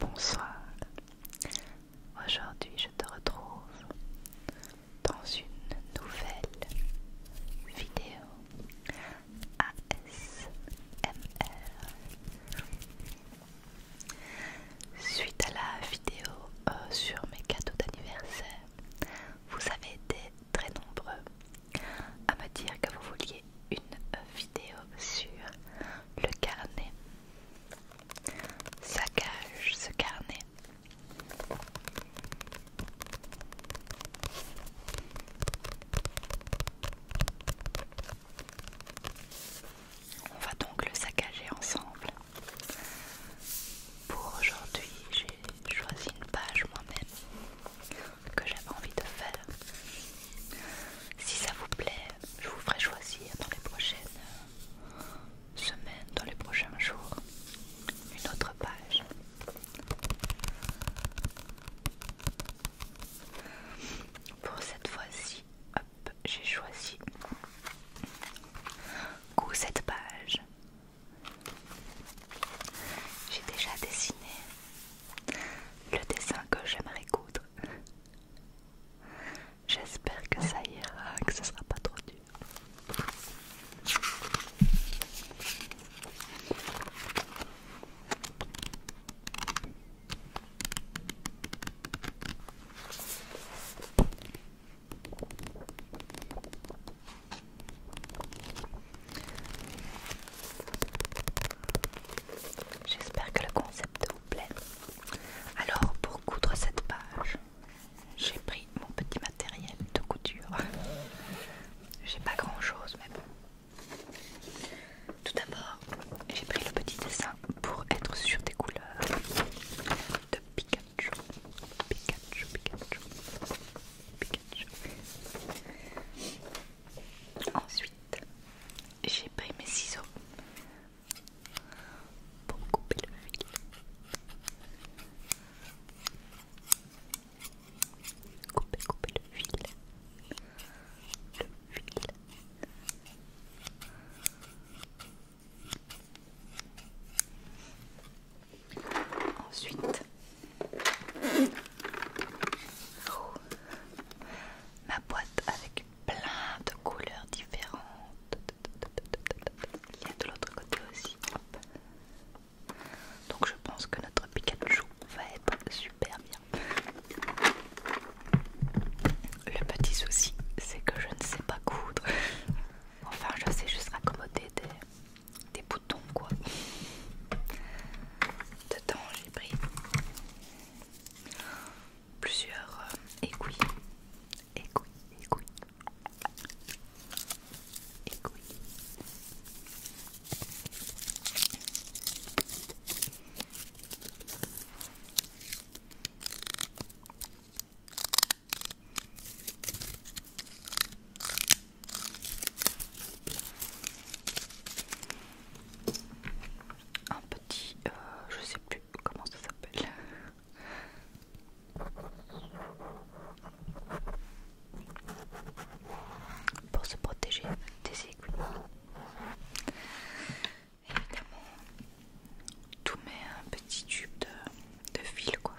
Bonsoir. Aujourd'hui, je te retrouve dans une nouvelle vidéo ASMR. Suite à la vidéo euh, sur mes cadeaux d'anniversaire, vous avez été très nombreux à me dire que vous vouliez une vidéo sur le carnet. saccage ce carnet. On va donc le saccager ensemble pour aujourd'hui, j'ai choisi une page moi-même que j'avais envie de faire. Si ça vous plaît, je vous ferai choisir dans les prochaines euh, semaines, dans les prochains jours, une autre page. Pour cette fois-ci, j'ai choisi. cette page j'ai déjà dessiné le dessin que j'aimerais coudre. J'espère que ça ira, que ce sera pas trop dur. J'espère que le concept vous plaît. Alors pour coudre cette page, j'ai pris mon petit matériel de couture. J'ai pas grand chose mais bon. Tout d'abord, j'ai pris le petit dessin pour être sûr des couleurs de Pikachu. Pikachu, Pikachu. Ensuite, j'ai pris mes ciseaux pour couper le fil. Couper, couper le fil. Le fil. Ensuite, ma boîte avec plein de couleurs différentes. Il y a de l'autre côté aussi. Donc je pense que notre Pikachu va être super bien. Le petit souci, c'est que je ne sais pas coudre. Enfin, je sais juste raccommoder des des boutons quoi. Dedans j'ai pris plusieurs euh, aiguilles. aiguilles. Aiguilles, aiguilles. Aiguilles. Un petit, euh, je sais plus comment ça s'appelle. Pour se protéger des aiguilles. Évidemment, tout met un petit tube de fil quoi.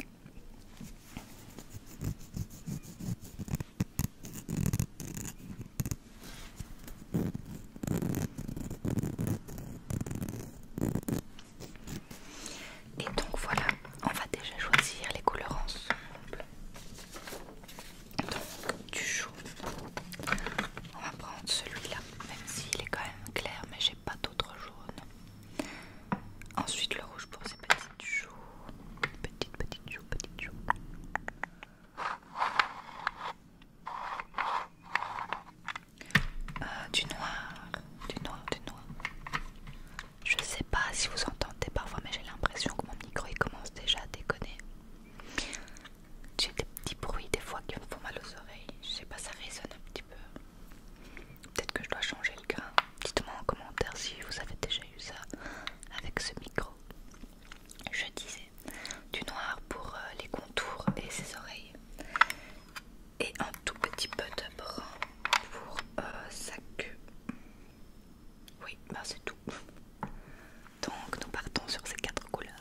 Et donc voilà, on va déjà choisir les couleurs ensemble. Donc du jaune, on va prendre celui-là, même s'il est quand même clair, mais j'ai pas d'autre jaune. Ensuite le rouge pour ses petites joues. Petites, petites joues, petites joues. Euh, du noir, du noir, du noir. Je sais pas si vous entendez parfois, mais j'ai l'impression que mon micro il commence déjà à déconner. J'ai des petits bruits des fois qui me font mal aux oreilles. Je sais pas, ça résonne un petit peu. Peut-être que je dois changer le cas. Dites-moi en commentaire si vous avez déjà eu ça avec ce micro. Je disais du noir pour euh, les contours et ses oreilles. Et un tout petit peu de brun pour euh, sa queue. Oui, bah c'est tout. Donc nous partons sur ces quatre couleurs.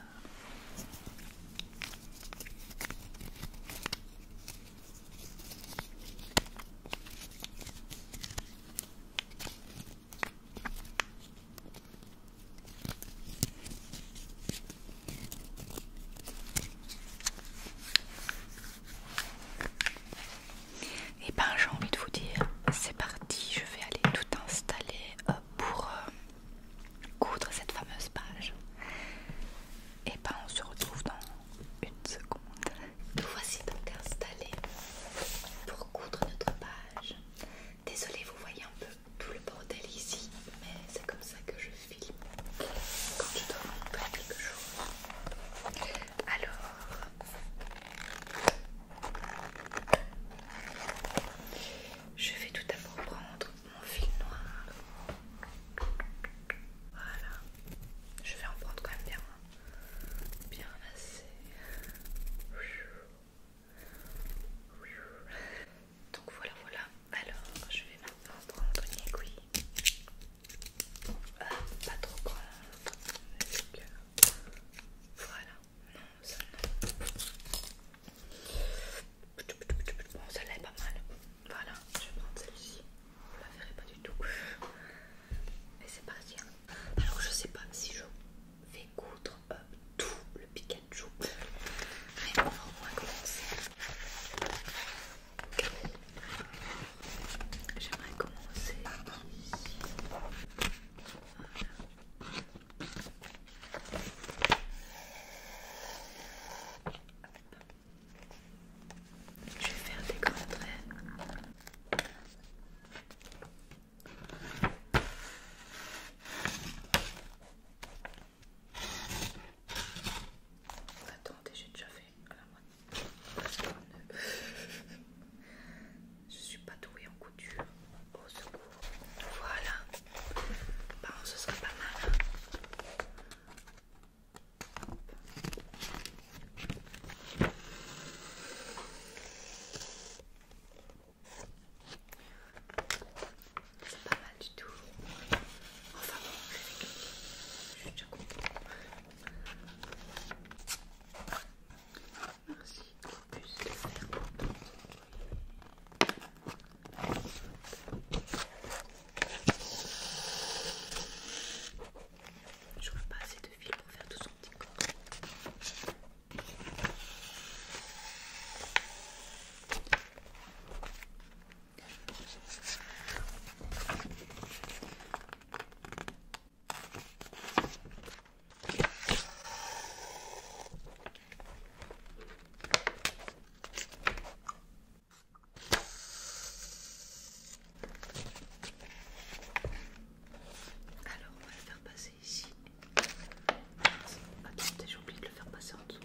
Et eh ben j'ai envie de vous dire, c'est parti, je vais aller tout installer euh, pour euh, coudre cette fameuse page. Et eh ben on se retrouve dans une seconde. Nous voici donc installés pour coudre notre page. Désolée, vous voyez un peu tout le bordel ici, mais c'est comme ça que je filme quand je dois montrer quelque chose. Alors, je vais tout d'abord prendre mon fil noir voilà. Je vais en prendre quand même bien. Hein. Bien assez. Donc voilà, voilà. Alors, je vais maintenant prendre une aiguille. Ah, pas trop grande. Voilà. Non, ça non. Bon, celle-là est pas mal. Voilà, je vais prendre celle-ci vous la verrez pas du tout. Mais c'est parti. Hein. Alors je sais pas si je vais coudre euh, tout le Pikachu. Mais on va commencer. J'aimerais commencer ici. Je vais faire des grands traits. Attendez, j'ai déjà fait la Je suis pas douée en couture. Au secours. Voilà. Bon, ce serait pas mal. Hein. C'est pas mal du tout. Enfin bon, je suis Merci plus de faire je vois pas assez de fil pour faire tout son petit corps. Alors on va le faire passer ici. Attendez, j'ai oublié de le faire passer en dessous.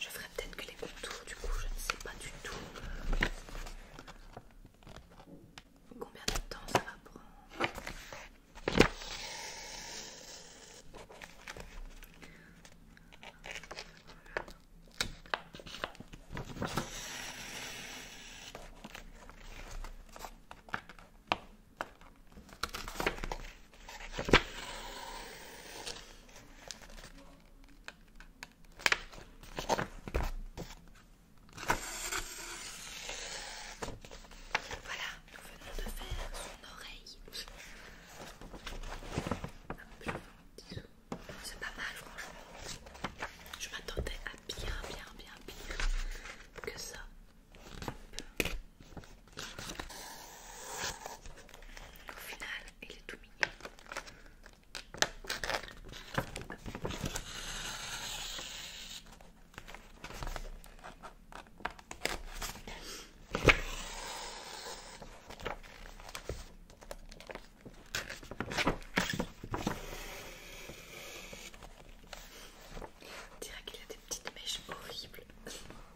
Je ferai peut-être que les contours, du coup, je ne sais pas du tout combien de temps ça va prendre. Voilà, nous venons de faire son oreille. C'est pas mal, franchement. Je m'attendais à bien, bien, bien, pire que ça. Au final, il est tout mignon. dirait qu'il a des petites mèches horribles.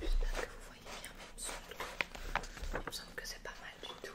J'espère que vous voyez bien même sous Il me semble que c'est pas mal du tout.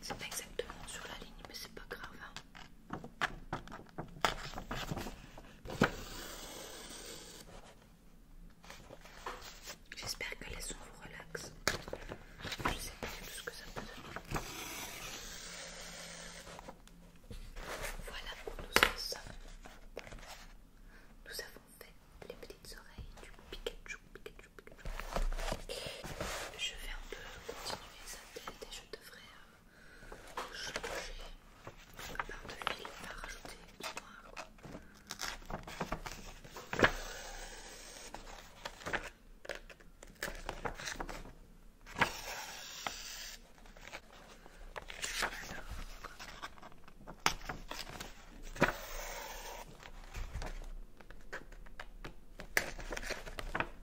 C'est pas exactement sur la ligne, mais c'est pas grave. Hein. J'espère que les sons vous relaxent. Je sais pas tout ce que ça peut donner. Voilà pour nous en Nous avons fait les petites oreilles du Pikachu, Pikachu, Pikachu. Je vais un peu continuer ça et je devrais changer à de rajouter du noir.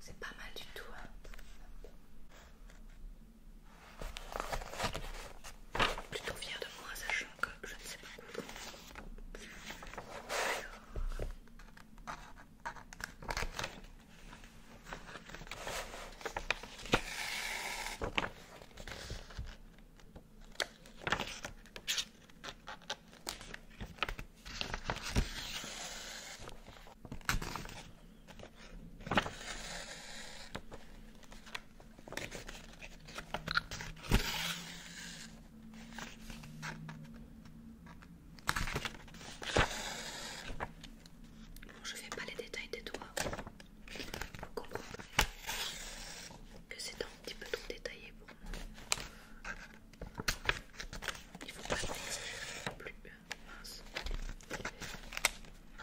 C'est pas mal du tout. Hein. Plutôt fière de moi, sachant que je ne sais pas quoi. Je je fais pas les détails des doigts. Vous comprendrez que c'est un petit peu trop détaillé pour moi. Il ne faut pas le plus mince.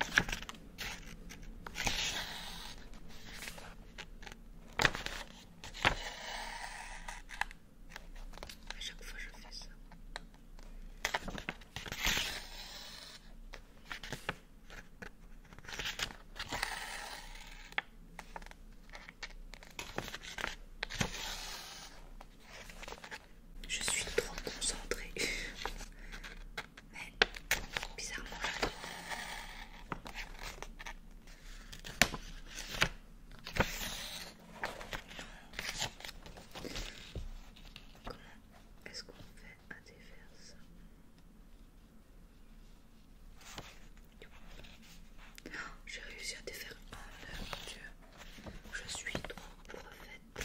À chaque fois, je fais ça. Je suis trop concentrée mais bizarrement Comment est-ce qu'on fait à défaire ça oh, J'ai réussi à défaire un oh, dieu, je suis trop prophète.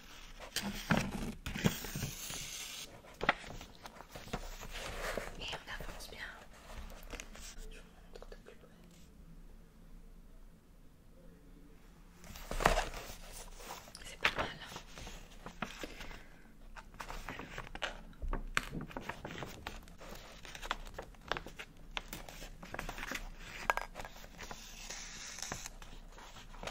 Et on avance bien. Je vous montre de plus près. C'est pas mal. Hein. Non, je n'ai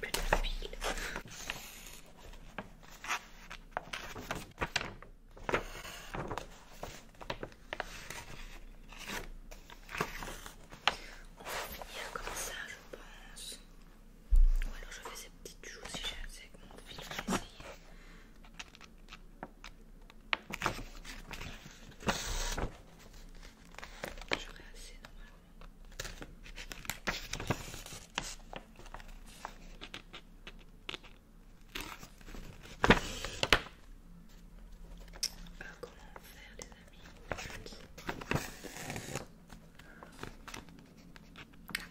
plus de fil. On va finir comme ça, je pense. Ou alors je fais ces petites choses si j'ai assez de mon fil, assez normalement comment faire les amis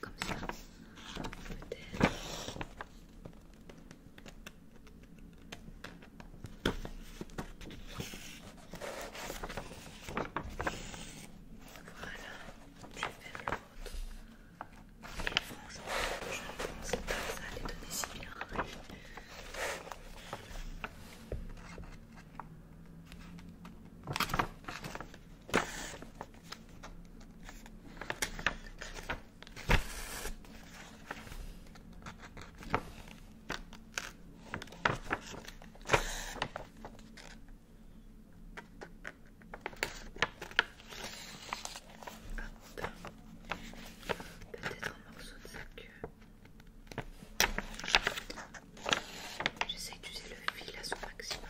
Comme ça, peut-être. Voilà, je ne pense pas que ça allait donner si Peut-être un morceau de sa queue. J'essaie d'user le fil à son maximum.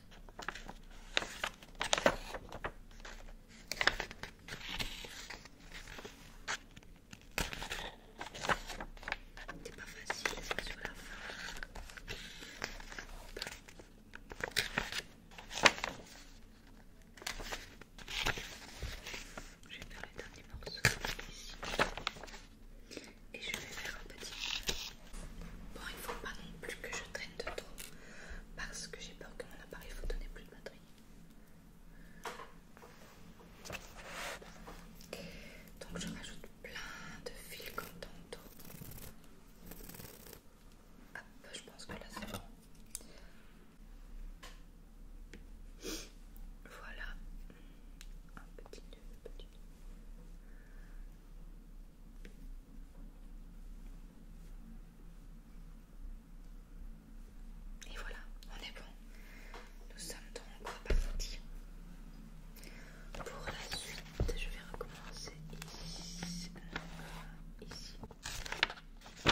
C'est pas facile, c'est sur la fin. Je vais faire les derniers morceaux ici. Et je vais faire un petit Bon, il faut pas non plus que je traîne de trop parce que j'ai peur que mon appareil photo n'ait plus de batterie. Donc je rajoute plein de fils comme tantôt. je pense que là c'est bon. Voilà. Un petit nœud, petit et voilà, on est bon. Nous sommes donc partis. Pour la suite, je vais recommencer ici. Euh,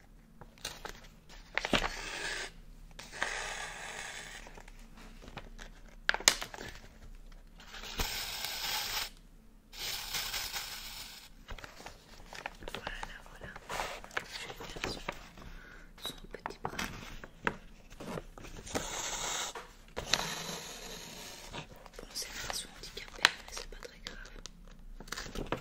Voilà, voilà. Je vais faire son, son petit bras. Bon, c'est une façon handicapée, mais c'est pas très grave.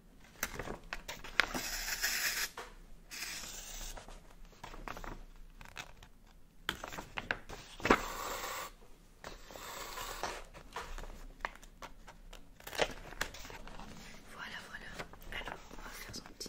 Voilà, voilà. Alors, on va faire son petit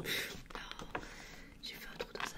Oh, j'ai fait un trou dans sa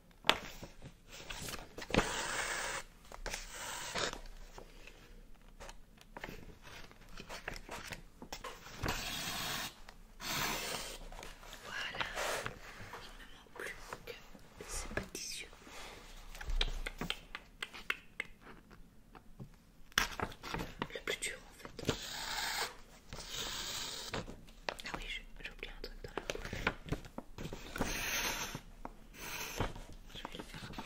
Voilà, il ne manque plus que ces petits yeux. Le plus dur en fait. Ah oui, j'ai oublié un truc dans la bouche, Je vais le faire après.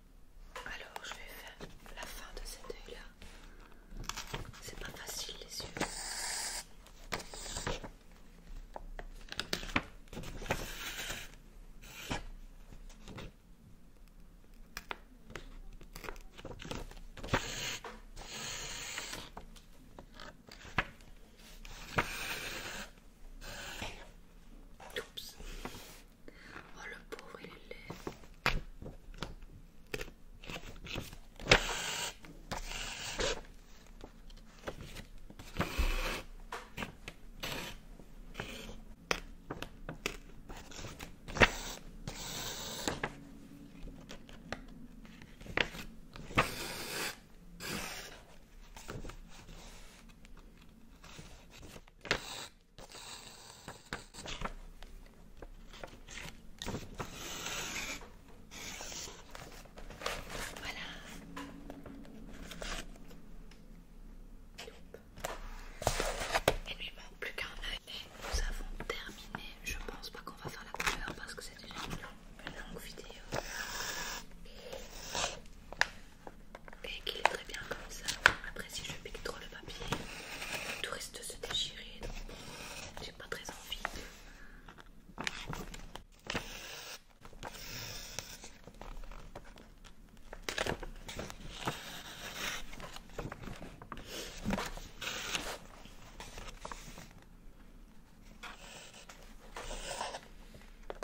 Alors je vais faire la fin de cet œil là. C'est pas facile les yeux. Oh le pauvre il est voilà. Il lui manque plus qu'un œil. Nous avons terminé. Je pense pas qu'on va faire la couleur parce que c'est déjà une longue vidéo et qu'il est très bien comme ça. Après, si je pique trop le papier, tout reste se déchirer donc j'ai pas très envie.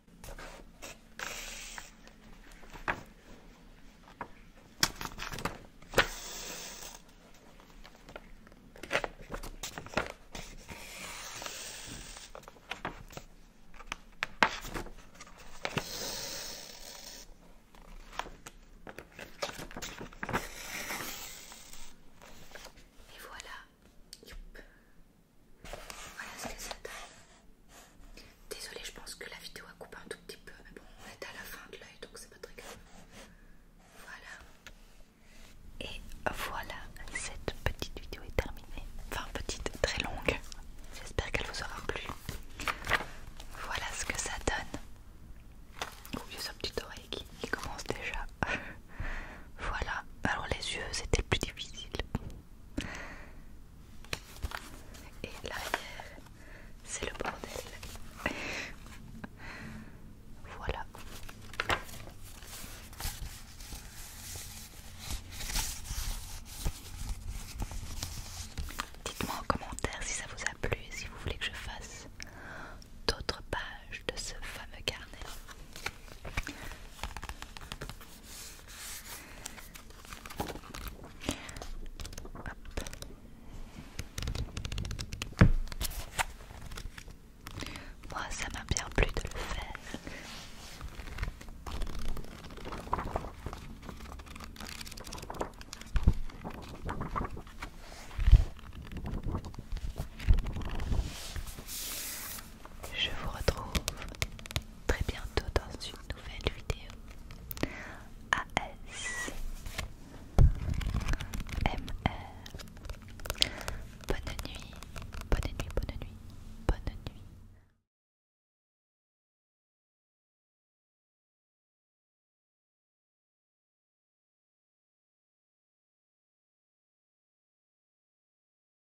Et voilà, Youp. Voilà ce que ça donne. Désolée, je pense que la vidéo a coupé un tout petit peu, mais bon, on est à la fin de l'œil donc c'est pas très grave. Voilà. Et voilà, cette petite vidéo est terminée. Enfin, petite, très longue. J'espère qu'elle vous aura plu. Voilà ce que ça donne. Oubliez sa petite oreille qui, commence déjà. voilà. Alors, les yeux, c'était plus difficile. Et l'arrière, c'est le bordel. voilà. Dites-moi en commentaire si ça vous a plu et si vous voulez que je fasse d'autres pages de ce fameux carnet. Moi, ça m'a bien plu de le faire je vous retrouve très bientôt dans une nouvelle vidéo ASMR. Bonne nuit, bonne nuit, bonne nuit, bonne nuit.